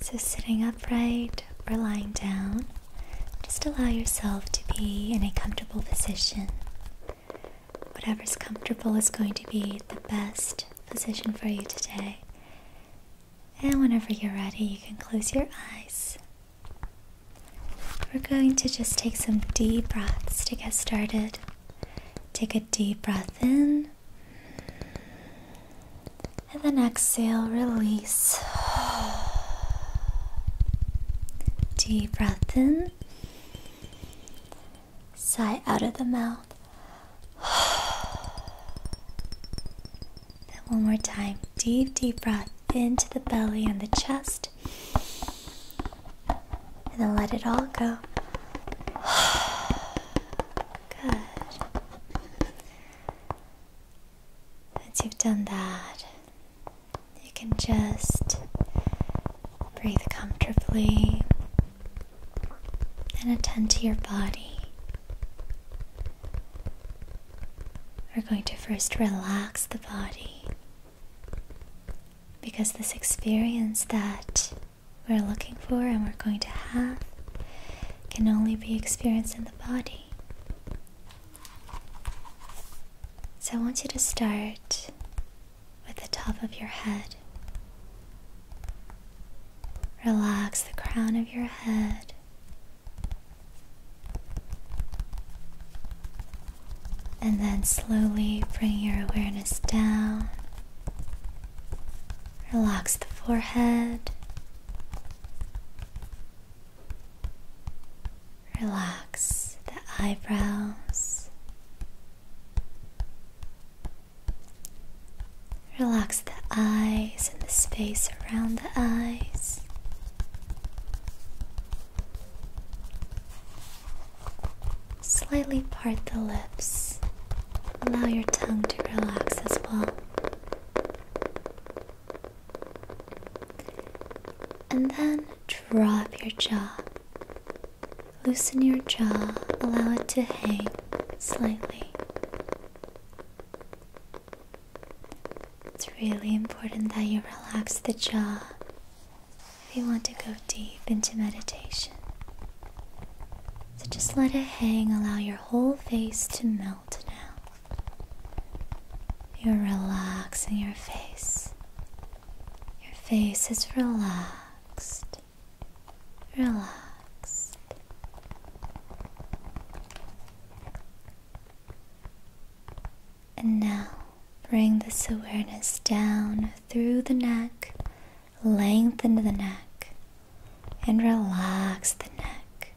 So, sitting upright or lying down, just allow yourself to be in a comfortable position. Whatever's comfortable is going to be the best position for you today. And whenever you're ready, you can close your eyes. We're going to just take some deep breaths to get started. Take a deep breath in and then exhale, release. Deep breath in. Sigh out of the mouth. Then one more time. Deep, deep breath into the belly and the chest. And then let it all go. Good. Once you've done that, you can just breathe comfortably and attend to your body. We're going to first relax the body because this experience that we're looking for and we're going to have can only be experienced in the body. So I want you to start with the top of your head. Relax the crown of your head. And then slowly bring your awareness down Relax the forehead. Relax the eyebrows. Relax the eyes and the space around the eyes. Slightly part the lips. Allow your tongue to relax as well. And then drop your jaw. Loosen your jaw, allow it to hang slightly. It's really important that you relax the jaw if you want to go deep into meditation. So just let it hang, allow your whole face to melt now. You're relaxing your face. Your face is relaxed. Relaxed. And now bring this awareness down through the neck, lengthen the neck, and relax the neck.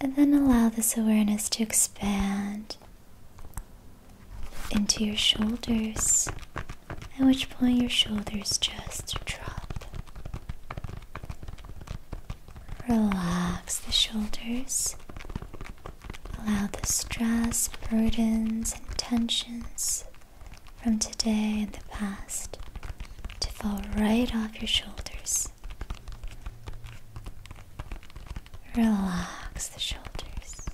And then allow this awareness to expand into your shoulders, at which point your shoulders just drop. Relax the shoulders Allow the stress, burdens, and tensions from today and the past to fall right off your shoulders. Relax the shoulders.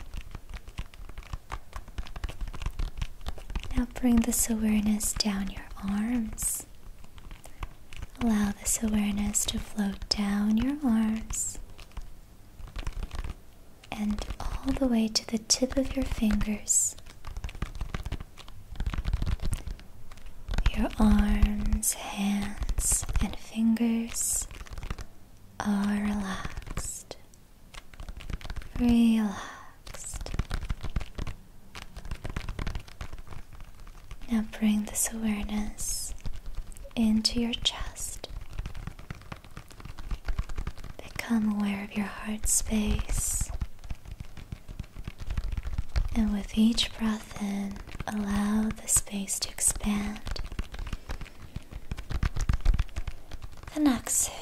Now bring this awareness down your arms. Allow this awareness to float down your arms and all the way to the tip of your fingers. Your arms, hands, and fingers are relaxed. Relaxed. Now bring this awareness into your chest. Become aware of your heart space. And with each breath in, allow the space to expand. And exhale.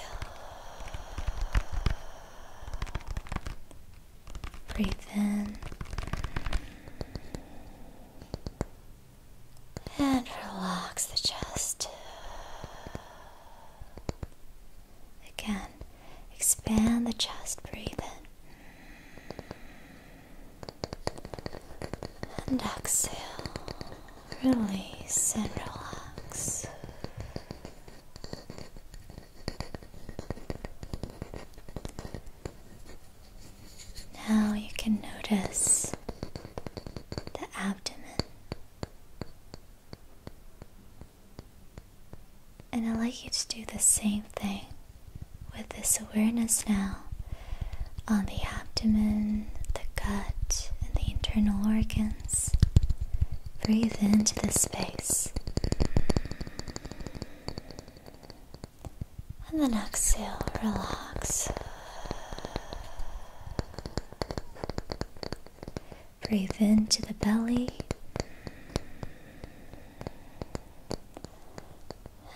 Breathe in. And relax the chest. Again, expand the chest, breathe in. And exhale, release and relax. Now you can notice the abdomen. And I'd like you to do the same thing with this awareness now on the abdomen, the gut, and the internal organs. Breathe into the space. And then exhale, relax. Breathe into the belly.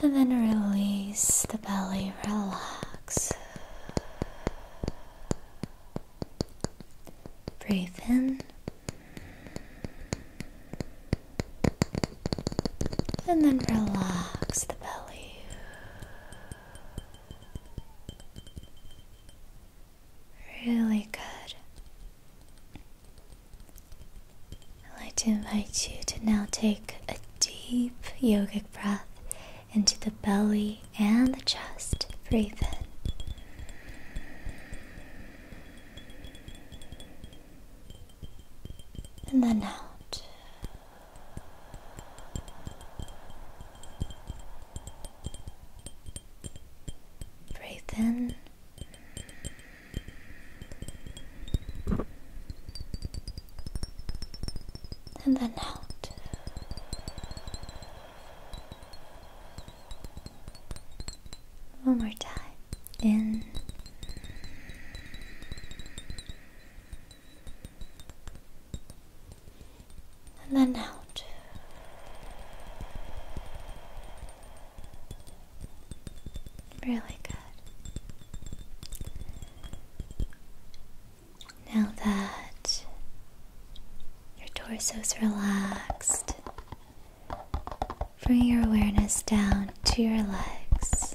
And then release the belly, relax. Breathe in and then relax the belly. Really good. I'd like to invite you to now take a deep yogic breath into the belly and the chest. Breathe in. And then out. Breathe in. And then out. One more time. In and then out. Really good. Now that your torso is relaxed, bring your awareness down to your legs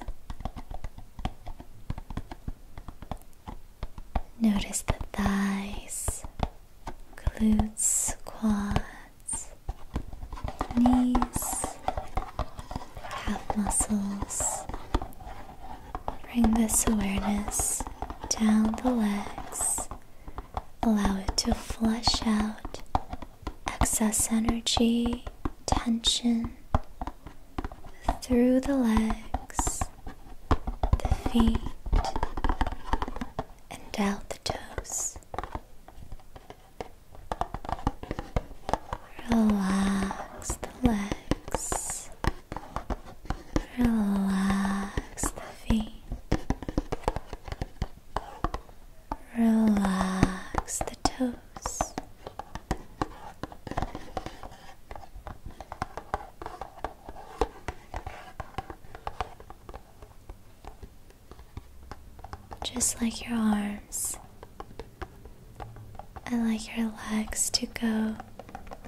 Notice the thighs, glutes, quads, knees, calf muscles. Bring this awareness down the legs. Allow it to flush out excess energy, tension through the legs, the feet, and out the toes. Relax the legs, relax the feet, relax the toes. Just like your arms, I like your legs to go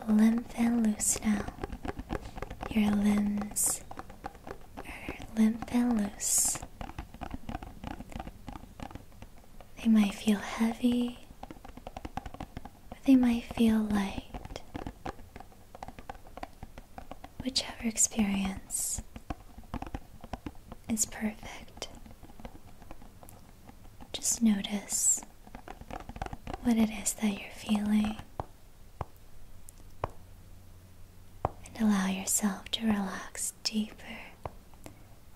limp and loose now. Your limbs are limp and loose. They might feel heavy, or they might feel light. Whichever experience is perfect. Just notice what it is that you're feeling and allow yourself to relax deeper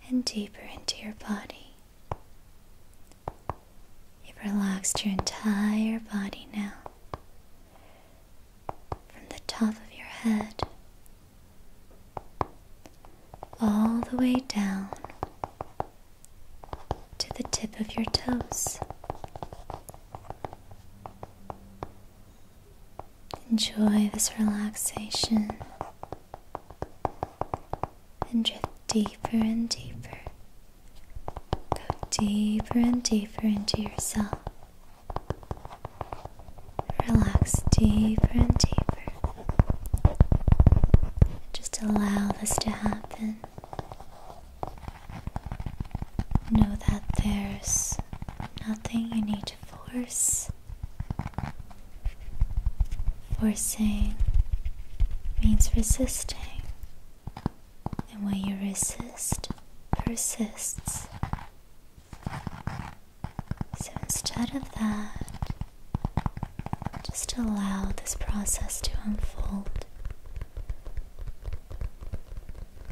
and deeper into your body. You've relaxed your entire body now, from the top of your head all the way down to the tip of your toes. Enjoy this relaxation and drift deeper and deeper. Go deeper and deeper into yourself. Relax deeper and deeper. Just allow this to happen. Know that there's nothing you need to Force Forcing means resisting, and when you resist, persists. So instead of that, just allow this process to unfold.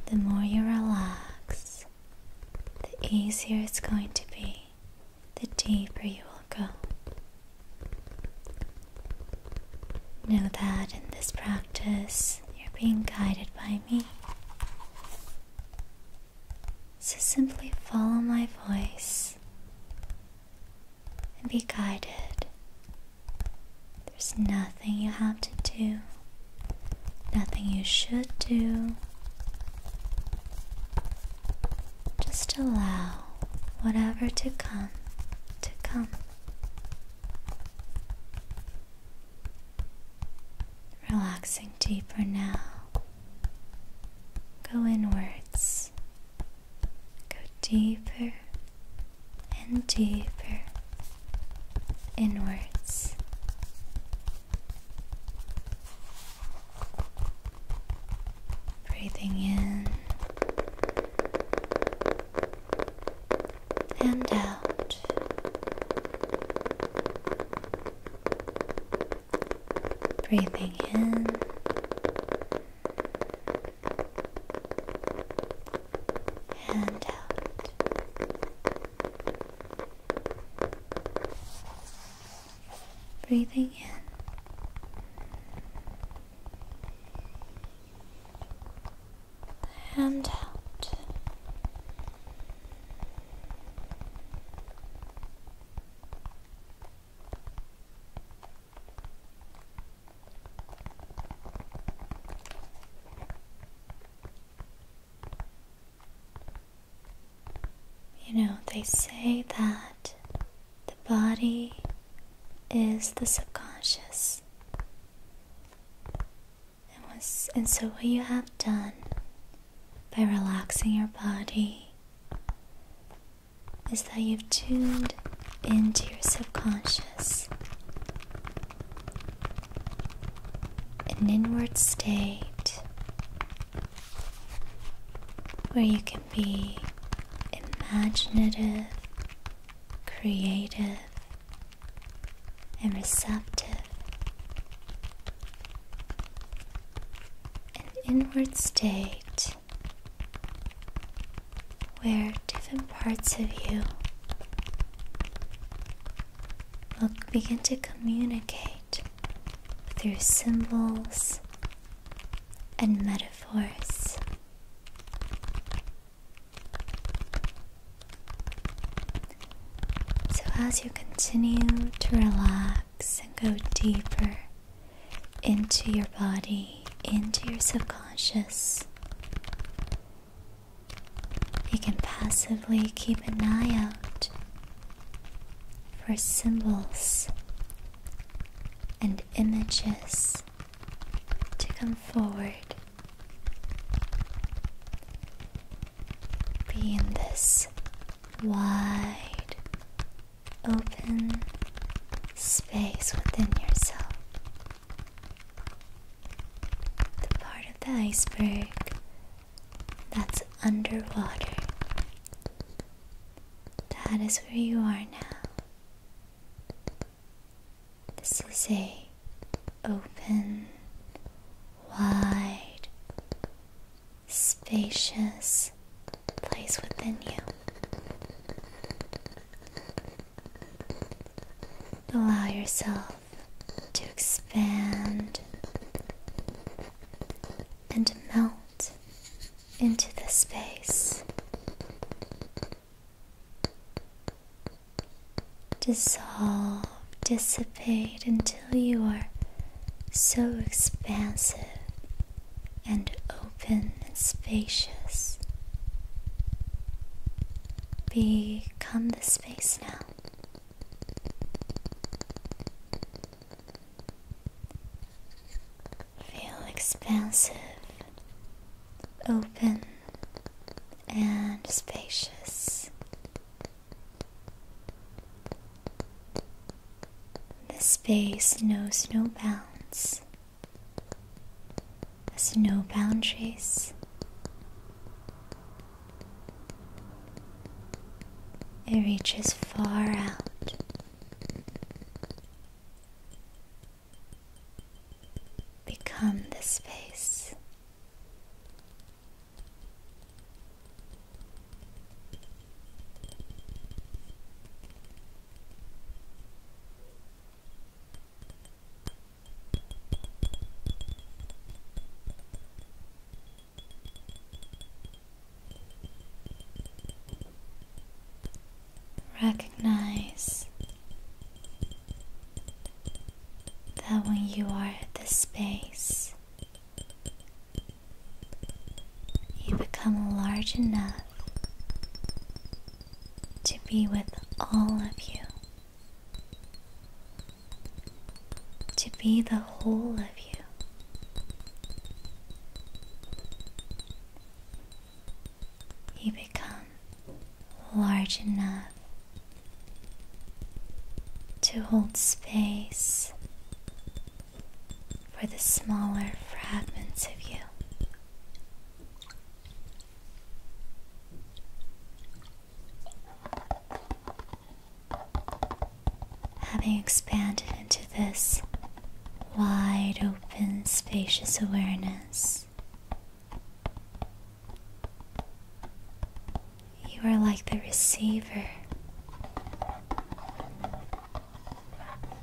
The more you relax, the easier it's going to be the deeper you will go. Know that in this practice you're being guided by me. So simply follow my voice and be guided. There's nothing you have to do nothing you should do. Just allow whatever to come to come. Relaxing deeper now. Go inwards. Go deeper and deeper inwards Breathing in and out. Breathing in and out. Breathing in. And out. You know, they say that the body is the subconscious. And, so, what you have done by relaxing your body is that you've tuned into your subconscious. An inward state where you can be imaginative, creative, and receptive. An inward state where different parts of you we will begin to communicate through symbols and metaphors. So, as you continue to relax and go deeper into your body, into your subconscious, you can passively keep an eye out for symbols and images to come forward. Be in this wide, open space within yourself. The part of the iceberg that's underwater. That is where you are now. This is a open, wide, spacious place within you. Allow yourself to expand and melt into the space, dissolve, dissipate until you are so expansive and open and spacious. Become the space now. Feel expansive, open, and spacious. The space knows no bounds, has no boundaries, it reaches far out. Become the space. Recognize that when you are at this space, you become large enough to be with all of you to be the whole of you. You become large enough to hold space for the smaller fragments of you. Having expanded into this wide open, spacious awareness, you are like the receiver,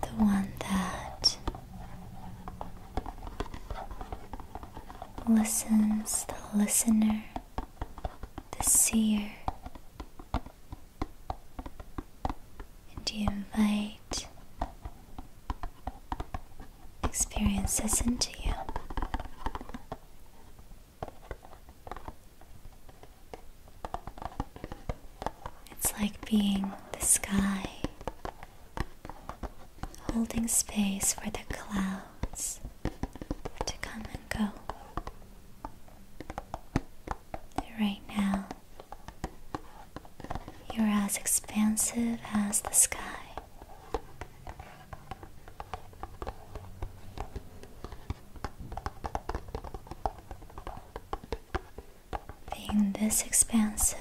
the one that listens, the listener the seer, and you invite experiences into you. It's like being the sky, holding space for the clouds to come and go. Right now, you're as expansive as the sky. Being this expansive,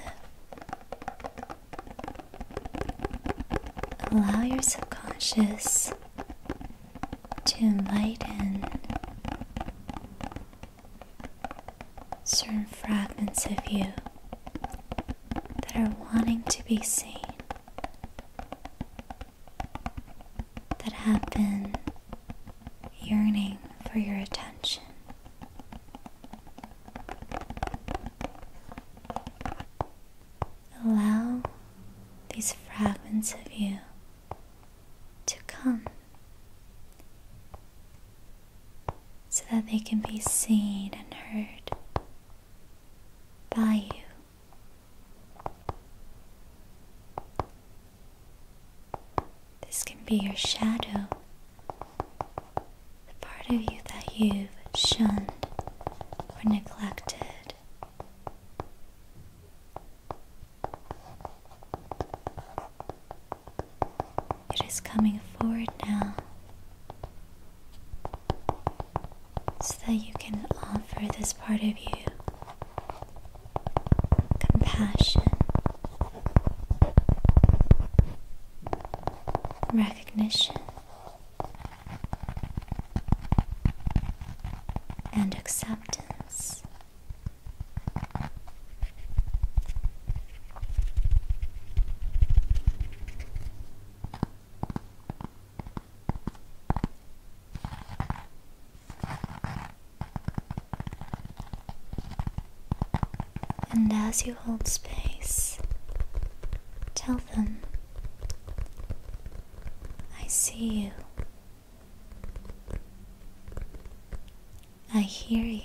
allow your subconscious to enlighten certain fragments of you that are wanting to be seen, that have been yearning for your attention. Allow these fragments of you to come so that they can be seen and heard by you. This can be your shadow, the part of you that you've shunned or neglected it is coming forward now so that you can offer this part of you compassion, recognition, and acceptance. And as you hold space, tell them I see you. I hear you.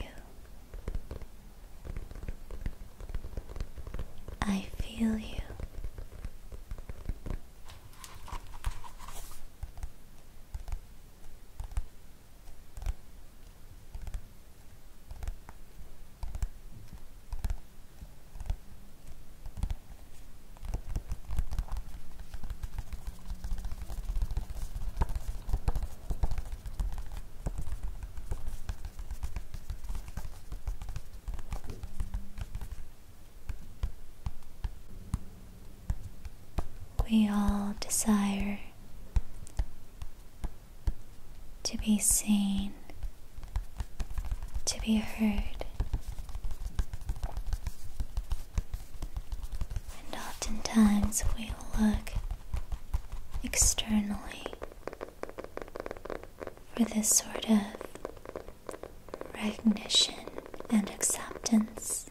I feel you. We all desire to be seen to be heard, and oftentimes we look externally for this sort of recognition and acceptance.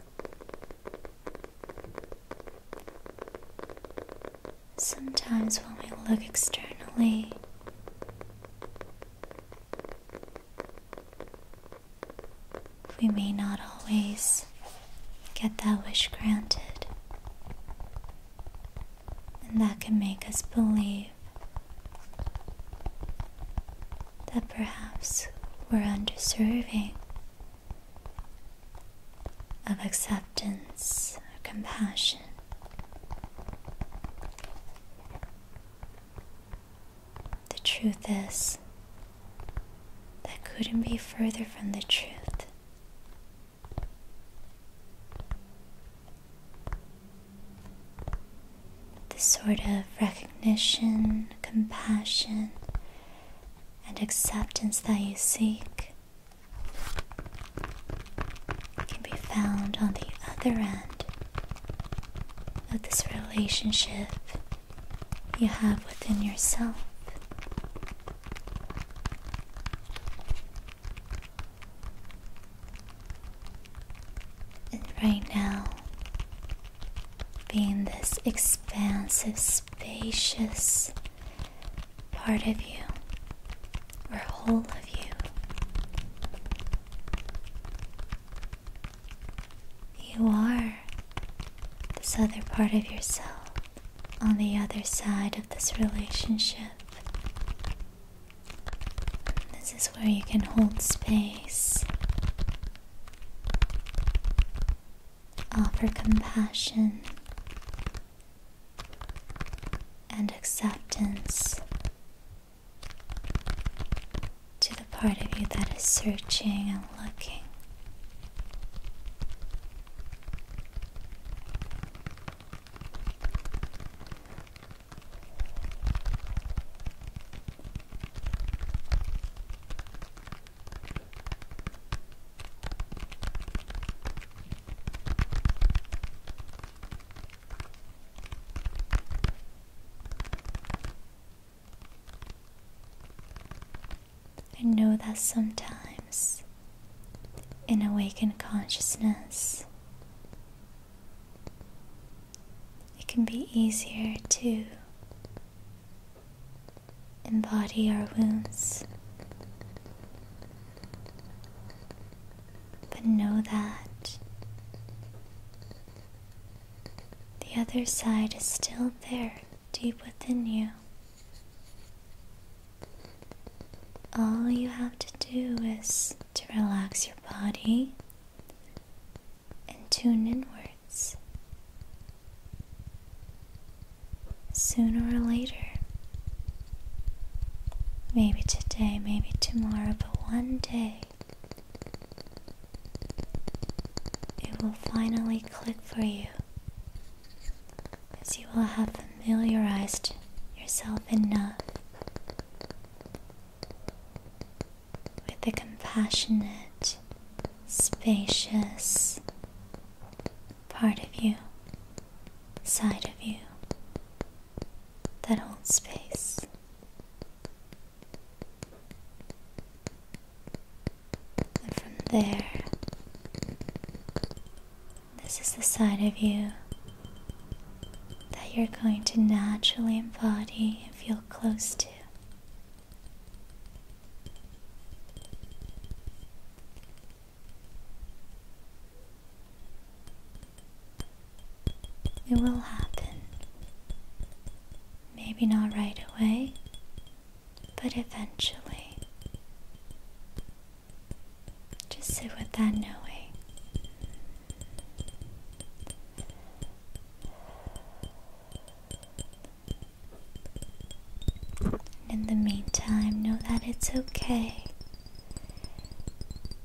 Sometimes when we look externally, we may not always get that wish granted, and that can make us believe that perhaps we're undeserving of acceptance or compassion. The truth is, that couldn't be further from the truth. The sort of recognition, compassion, and acceptance that you seek can be found on the other end of this relationship you have within yourself. And right now, being this expansive, spacious part of you or whole of you you are this other part of yourself on the other side of this relationship. This is where you can hold space, offer compassion and acceptance to the part of you that is searching and looking. I know that sometimes in awakened consciousness, it can be easier to embody our wounds but know that the other side is still there deep within you. All you have to do is to relax your body and tune inwards. Sooner or later, maybe today, maybe tomorrow, but one day it will finally click for you as you will have familiarized yourself enough with the compassionate, spacious part of you, side of you that old space. And from there, this is the side of you that you're going to naturally embody and feel close to. It will happen. Maybe not right away, but eventually. Just sit with that knowing. In the meantime, know that it's okay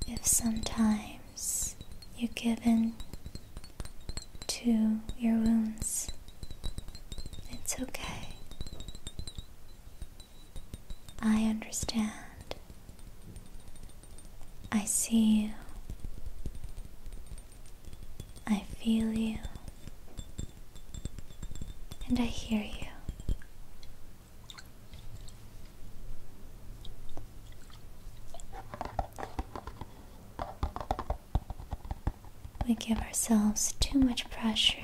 if sometimes you give in to your wounds. It's okay. I understand. I see you. I feel you. And I hear you. We give ourselves too much pressure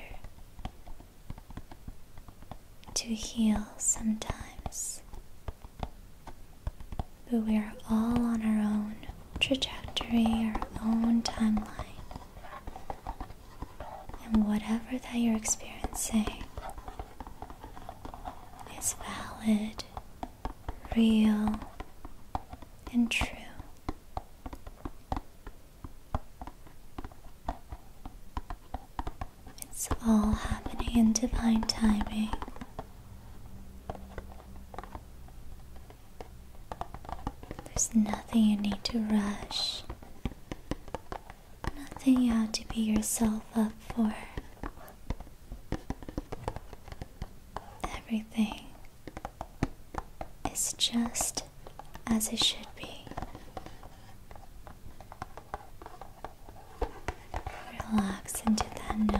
to heal sometimes, but we are all on our own trajectory, our own timeline. And whatever that you're experiencing it's valid, real, and true. It's all happening in divine timing. There's nothing you need to rush Nothing you have to be yourself up for. Everything is just as it should be. Relax into that knowing.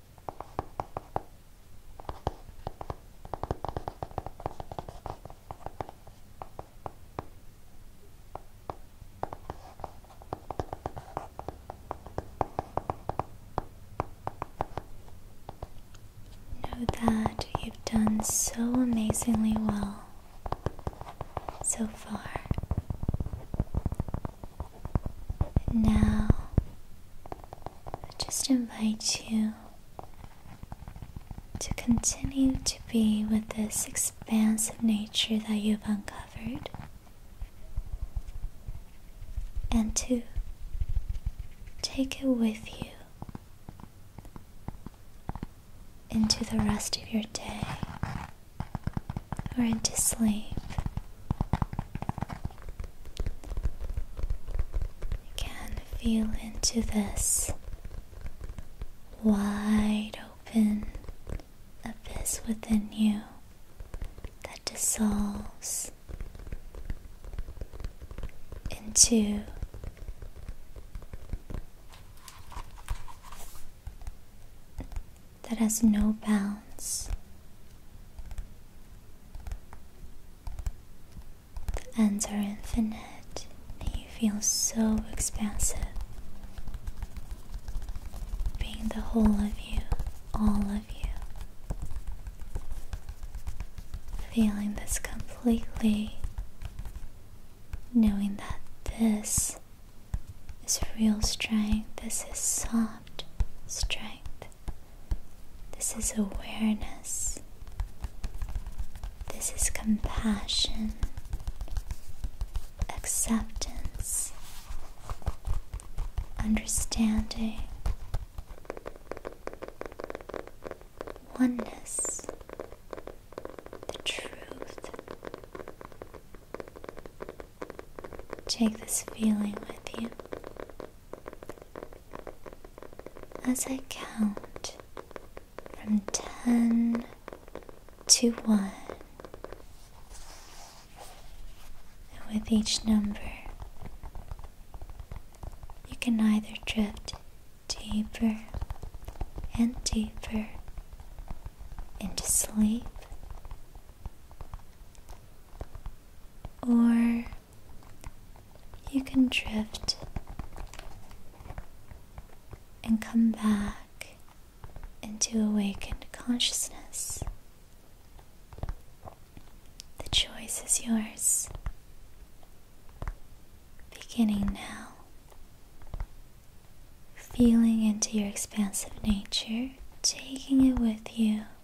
Know that you've done so amazingly well so far. now I just invite you to continue to be with this expansive nature that you've uncovered and to take it with you into the rest of your day or into sleep can feel into this wide open abyss within you that dissolves into that has no bounds. The ends are infinite, and you feel so expansive. Being the whole of you, all of you. Feeling this completely, knowing that this is real strength, this is soft strength. This is awareness. This is compassion, acceptance, understanding, oneness, the truth. Take this feeling with you as I count from ten to one. And with each number, you can either drift deeper and deeper into sleep or you can drift and come back into awakened consciousness. The choice is yours, beginning now. Feeling into your expansive nature, taking it with you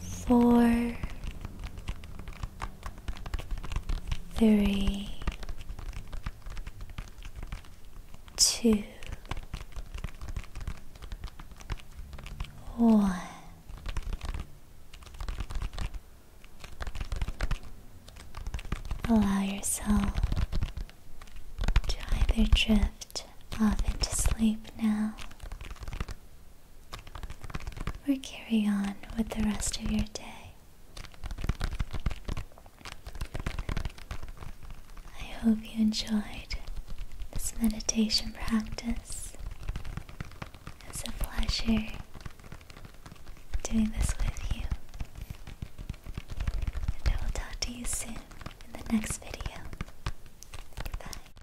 four, three, two, one. Allow yourself to either drift off into sleep now or carry on with the rest of your day. I hope you enjoyed this meditation practice. It's a pleasure doing this with you. And I will talk to you soon in the next video. Goodbye.